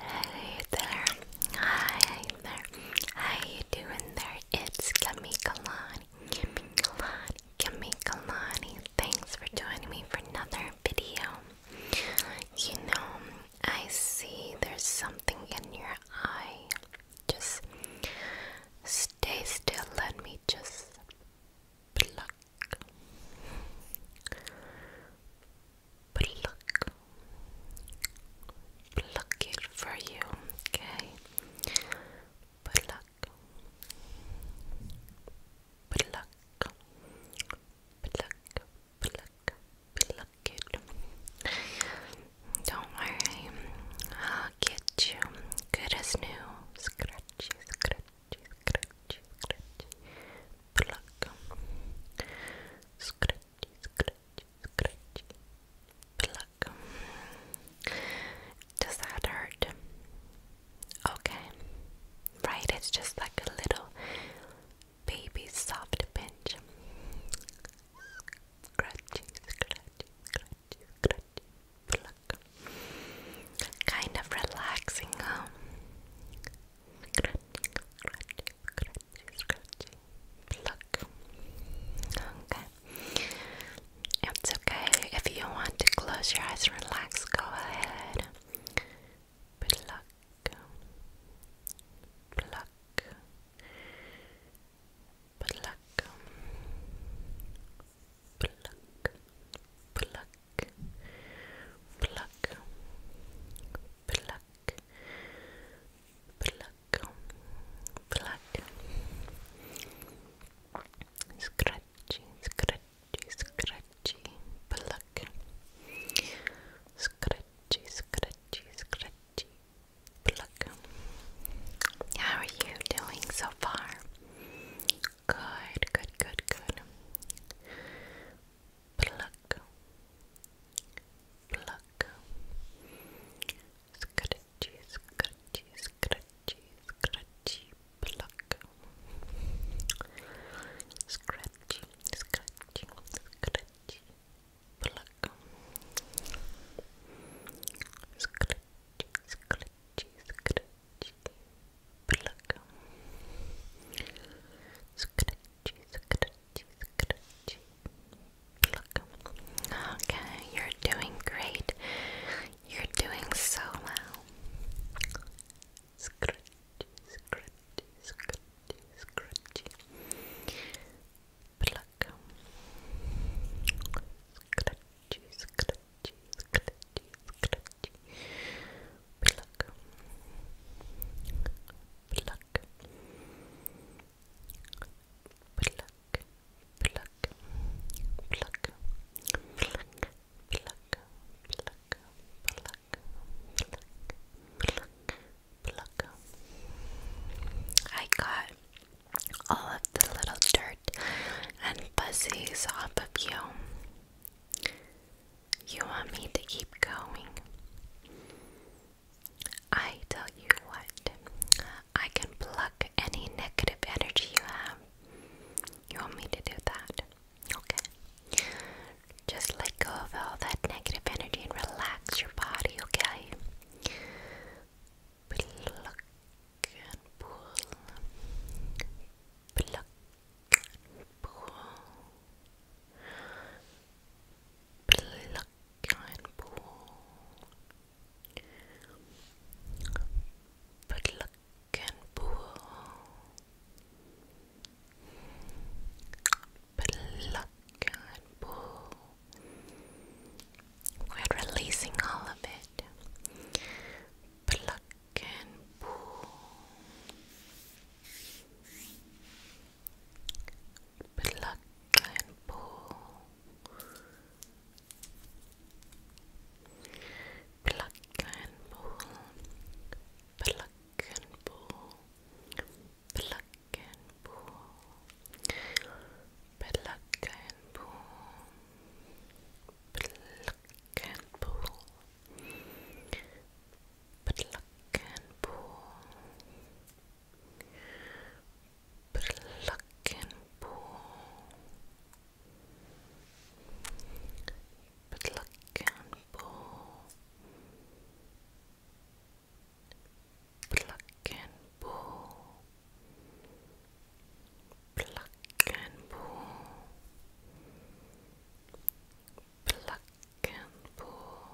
Hey there, hi there, how you doing there? It's Kami Kalani, Kami Kalani, Thanks for joining me for another video. You know, I see there's something in your eye. Just stay still, let me just Pluck, pluck, pluck it for you, okay? Pluck, pluck, pluck, pluck, pluck it. Don't worry, I'll get you good as new. Scratchy, scratchy, scratchy, scratchy, pluck. Scratchy, scratchy, scratchy, pluck. Does that hurt? Okay. Right, it's just like a little baby soft pinch. Scratchy, scratchy, scratchy, scratchy, pluck. Kind of relaxing, huh? Scratching, scratching, Okay. It's okay if you want to close your eyes, relax, go ahead. Pluck. Pluck. Pluck. Pluck. Pluck pluck, pluck, pluck, pluck, scratchy, scratchy, scratchy, pluck, scratchy, scratchy, scratchy, pluck. How are you doing so far? Good, good, good, good pluck, pluck, scratchy, scratchy, scratchy, scratchy, pluck, scratchy, scratchy, scratchy, pluck, scratchy, scratchy, scratchy pluck scratchy, scratchy, scratchy pluck okay, you're doing great you're doing so well scratchy, scratchy, scratchy, scratchy pluck scratchy, scratchy clutches, clutches, clutches. Pluck. Pluck. Pluck. Pluck. Pluck. Pluck. Pluck, pluck, pluck, pluck, pluck, I got all of the little dirt and fuzzies off of you. You want me to keep going? I tell you what, I can pluck any negative energy you have. You want me to do that? Okay. Just let go of all that negative energy and relax your body, okay? Pluck and pull pull, pluck and pull, pull, pull. We're releasing all of it. Pluck can pull, pluck and pull, pluck and pull, pluck and pull, pluck and pull, pluck and pull, pluck can pull, but luck can pull, but luck can pull, but luck can pull, but luck can pull pluck and pull, pluck and pull,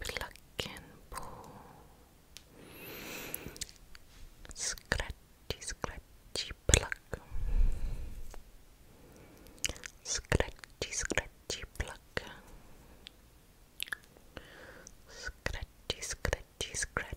pluck and pull, scratchy, scratchy, pluck, scratchy, scratchy, pluck. Scratchy, scratchy, scratchy,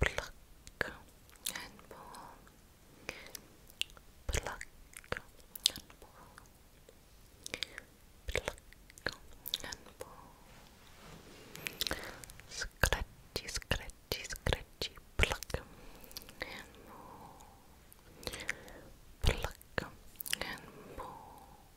pluck and pull, pluck and pull, pluck and pull, scratchy, scratchy, scratchy, pluck and pull, pluck and pull.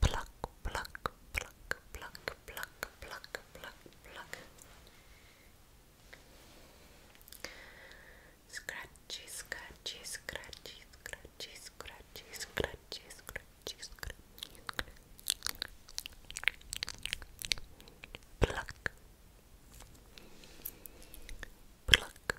pluck, pluck, pluck, pluck, pluck, pluck, pluck, pluck. Scratchy, scratchy, scratchy, scratchy, scratchy, scratchy, scratchy, scratchy, pluck, pluck,